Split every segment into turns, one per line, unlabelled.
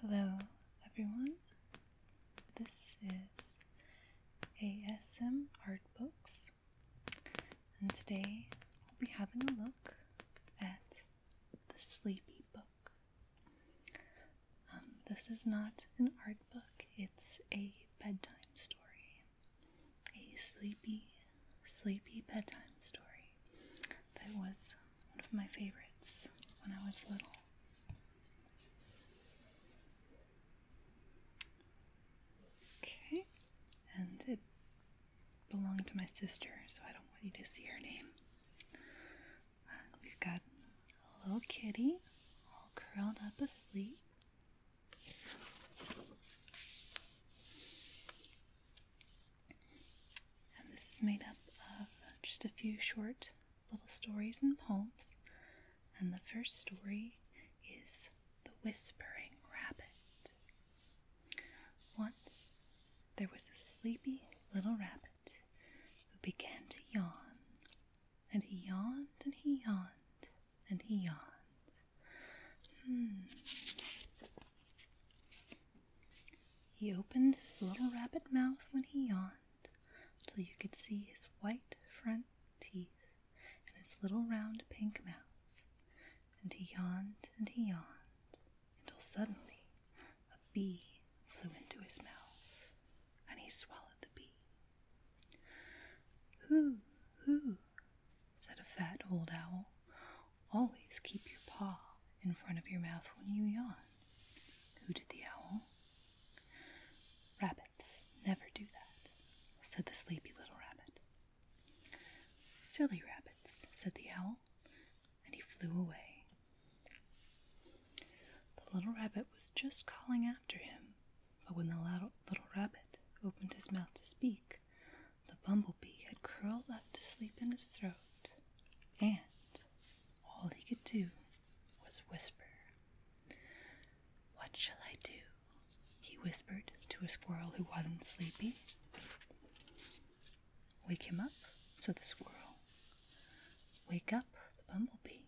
Hello, everyone. This is ASM Art Books, and today we will be having a look at the Sleepy Book. Um, this is not an art book, it's a bedtime story a sleepy, sleepy bedtime story that was one of my favorites when I was little. Okay, and it belonged to my sister, so I don't want you to see her name. Uh, we've got a little kitty all curled up asleep. And this is made up of just a few short little stories and poems. And the first story is The Whispering Rabbit. Once there was a sleepy little rabbit who began to yawn. And he yawned and he yawned and he yawned. Hmm. He opened his little rabbit mouth when he yawned till you could see his white front teeth and his little round pink mouth. And he yawned and he yawned until suddenly a bee flew into his mouth and he swallowed the bee. Hoo, hoo, said a fat old owl. Always keep your paw in front of your mouth when you yawn, hooted the owl. Rabbits never do that, said the sleepy little rabbit. Silly rabbits, said the owl, and he flew away. The little rabbit was just calling after him but when the little, rabbit opened his mouth to speak, the bumblebee had curled up to sleep in his throat, and all he could do was whisper. What shall I do? he whispered to a squirrel who wasn't sleepy. Wake him up, said the squirrel. Wake up the bumblebee.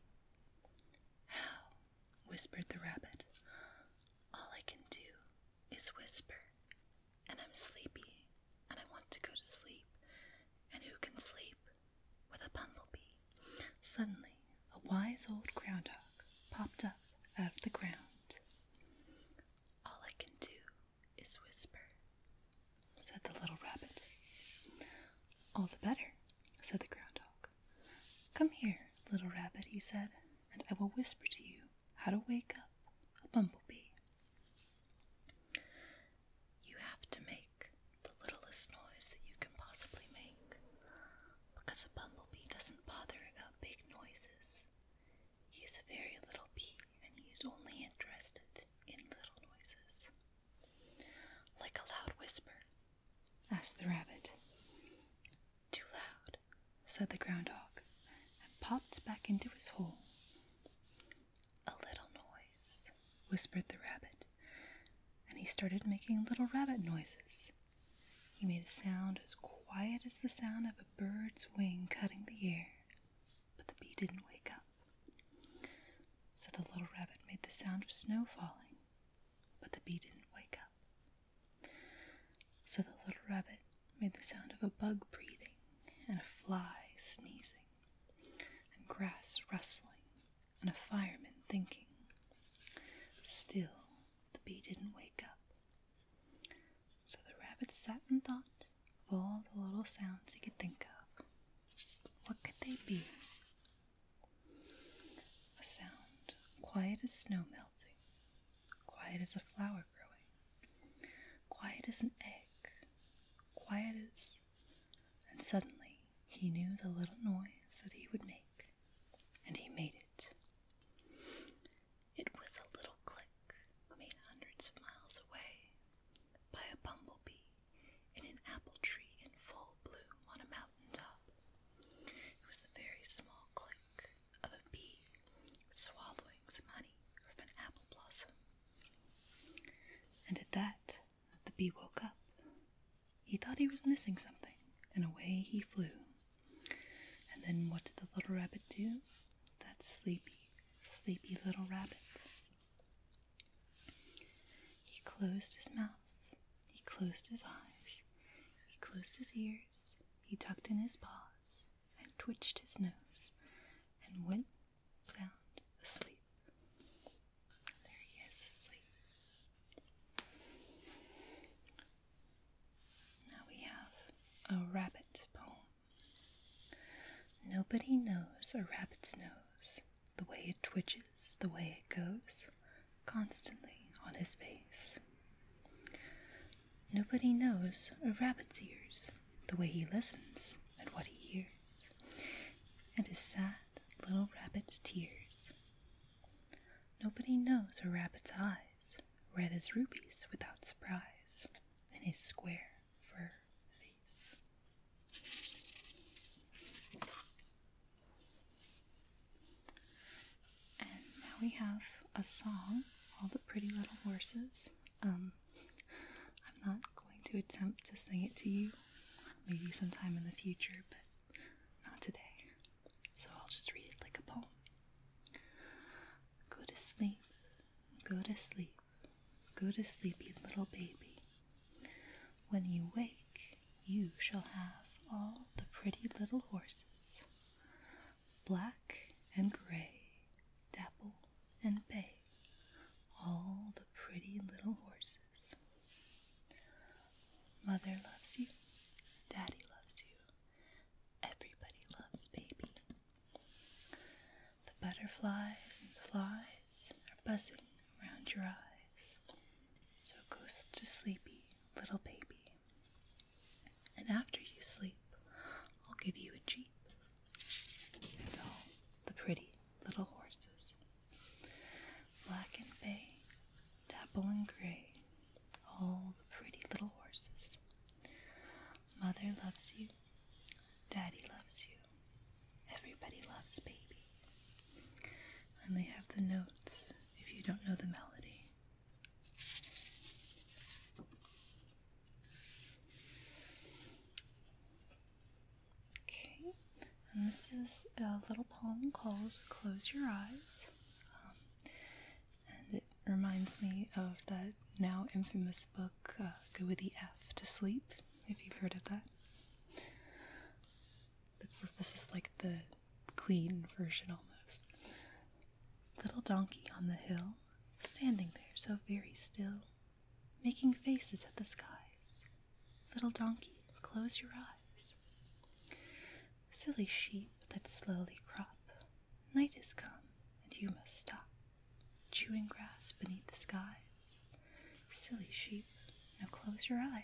How? whispered the rabbit. All I can do is whisper, and I'm sleepy, and I want to go to sleep, and who can sleep with a bumblebee? Suddenly, a wise old groundhog popped up out of the ground. All I can do is whisper, said the little rabbit. All the better, said the groundhog. Come here, little rabbit, he said, and I will whisper to you how to wake up a bumblebee. You have to make the littlest noise that you can possibly make, because a bumblebee doesn't bother about big noises. He is a very little bee, and he is only interested in little noises. Like a loud whisper? asked the rabbit. Too loud, said the groundhog, and popped back into his hole. A little noise, whispered the rabbit, and he started making little rabbit noises. He made a sound as quiet as the sound of a bird's wing cutting the air, but the bee didn't wake up. So the little rabbit made the sound of snow falling, but the bee didn't wake up. So the little rabbit made the sound of a bug breathing, and a fly sneezing, and grass rustling, and a fireman thinking. Still, the bee didn't wake up. So the rabbit sat and thought of all the little sounds he could think of. What could they be? A sound quiet as snow melting, quiet as a flower growing, quiet as an egg, quiet as. And suddenly he knew the little noise that he would make, and he made it. It was a little click made hundreds of miles away by a bumblebee in an apple tree in full bloom on a mountain top. It was the very small click of a bee swallowing some honey from an apple blossom. And at that, the bee woke up. He thought he was missing something, and away he flew. And then what did the little rabbit do? That sleepy, sleepy little rabbit he closed his mouth, he closed his eyes, he closed his ears, he tucked in his paws, and twitched his nose, and went sound asleep. there he is asleep. Now we have a rabbit poem. Nobody knows a rabbit's nose, the way it twitches, the way it goes, constantly on his face. Nobody knows a rabbit's ears, the way he listens and what he hears, and his sad little rabbit's tears. Nobody knows a rabbit's eyes, red as rubies without surprise, and his square fur. And now we have a song, All the Pretty Little Horses. Um, I'm not going to attempt to sing it to you, maybe sometime in the future, but not today. So I'll just read it like a poem. Go to sleep, go to sleep. Go to sleep, little baby. When you wake, you shall have all the pretty little horses, black and gray, dapple and bay, all the pretty little horses. Mother loves you, Daddy loves you, everybody loves baby. The butterflies and flies are buzzing around your eyes. So go to sleep, little baby. And after you sleep, I'll give you a jeep and all the pretty little horses. Black and bay, dapple and gray, all the pretty little horses. Mother loves you. Daddy loves you. Everybody loves baby. And they have the notes if you don't know the melody. Okay, and this is a little poem called Close Your Eyes. Um, and it reminds me of that now infamous book, uh, Go with the F to Sleep, if you've heard of that. This this is like the clean version almost. Little donkey on the hill, standing there so very still, making faces at the skies. Little donkey, close your eyes. Silly sheep that slowly crop, night has come, and you must stop, chewing grass beneath the skies. Silly sheep, now close your eyes.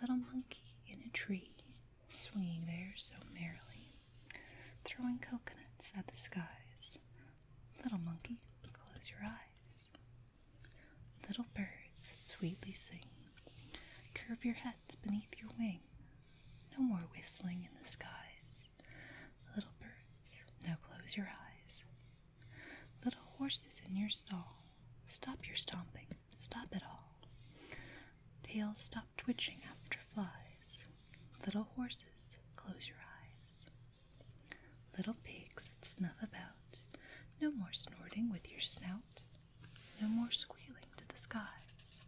Little monkey in a tree, swinging there so merrily, throwing coconuts at the skies. Little monkey, close your eyes. Little birds that sweetly sing, curve your head beneath your wing. No more whistling in the skies. Little birds, now close your eyes. Little horses in your stall, stop your stomping, stop it all. Tails stop twitching after flies. Little horses, close your eyes. Little pigs that snuff about, no more snorting with your snout. No more squealing to the skies.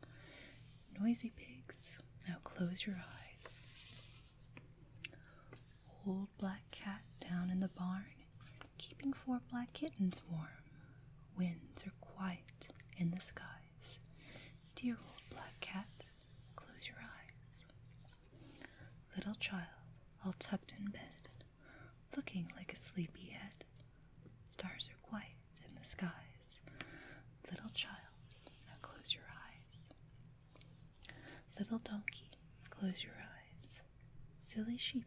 Noisy pigs, now close your eyes. Old black cat down in the barn, keeping four black kittens warm. Winds are quiet in the skies. Dear old black cat, close your eyes. Little child, all tucked in bed, looking like a sleepy head. Stars are quiet in the skies. Little child, now close your eyes. Little donkey, close your eyes. Silly sheep,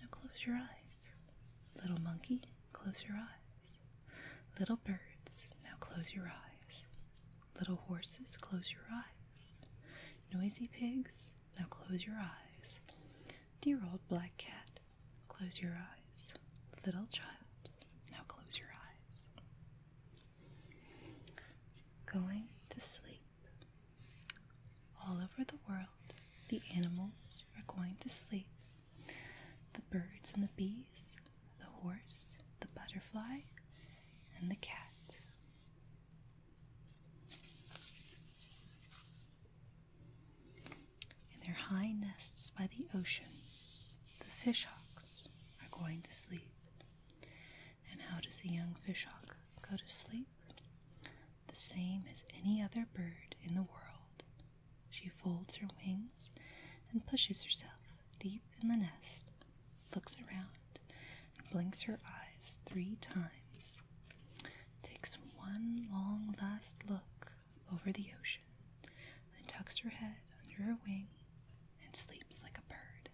now close your eyes. Little monkey, close your eyes. Little birds, now close your eyes. Little horses, close your eyes. Noisy pigs, now close your eyes. Dear old black cat, Close your eyes, little child. Now close your eyes. Going to sleep. All over the world, the animals are going to sleep. The birds and the bees, the horse, the butterfly, and the cat. In their high nests by the ocean, the fishhawks are going to sleep. And how does the young fishhawk go to sleep? The same as any other bird in the world. She folds her wings and pushes herself deep in the nest, looks around, and blinks her eyes three times takes one long last look over the ocean, then tucks her head under her wing and sleeps like a bird.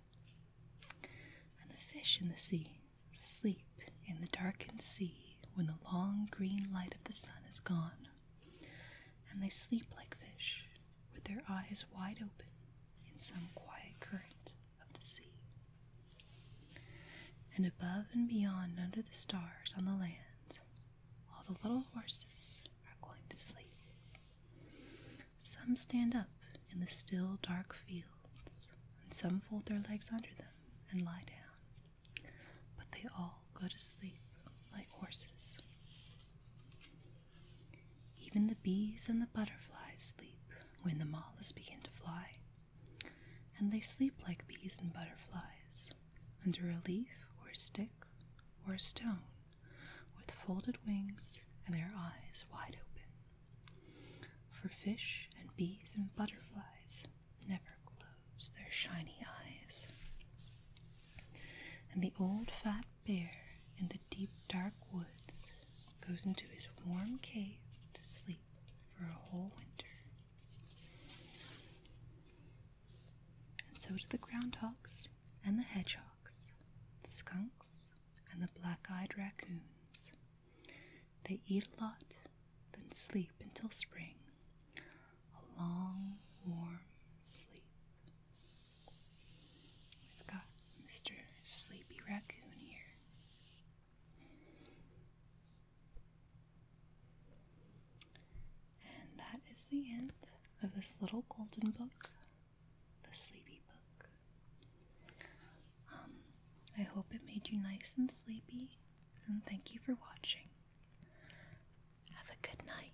And the fish in the sea sleep in the darkened sea when the long green light of the sun is gone. And they sleep like fish, with their eyes wide open in some quiet current of the sea. And above and beyond, under the stars on the land, all the little horses are going to sleep. Some stand up in the still dark fields, and some fold their legs under them and lie down. But they all go to sleep like horses. Even the bees and the butterflies sleep when the moths begin to fly and they sleep like bees and butterflies, under a leaf or stick or a stone, with folded wings and their eyes wide open. For fish and bees and butterflies never close their shiny eyes. And the old fat bear in the deep dark woods goes into his warm cave to sleep for a whole winter. And so do the groundhogs and the hedgehogs, the skunks and the black eyed raccoons. They eat a lot, then sleep until spring. A long, warm sleep. We've got Mr. Sleepy Raccoon here. And that is the end of this little golden book, the Sleepy Book. Um, I hope it made you nice and sleepy, and thank you for watching. Have a good night.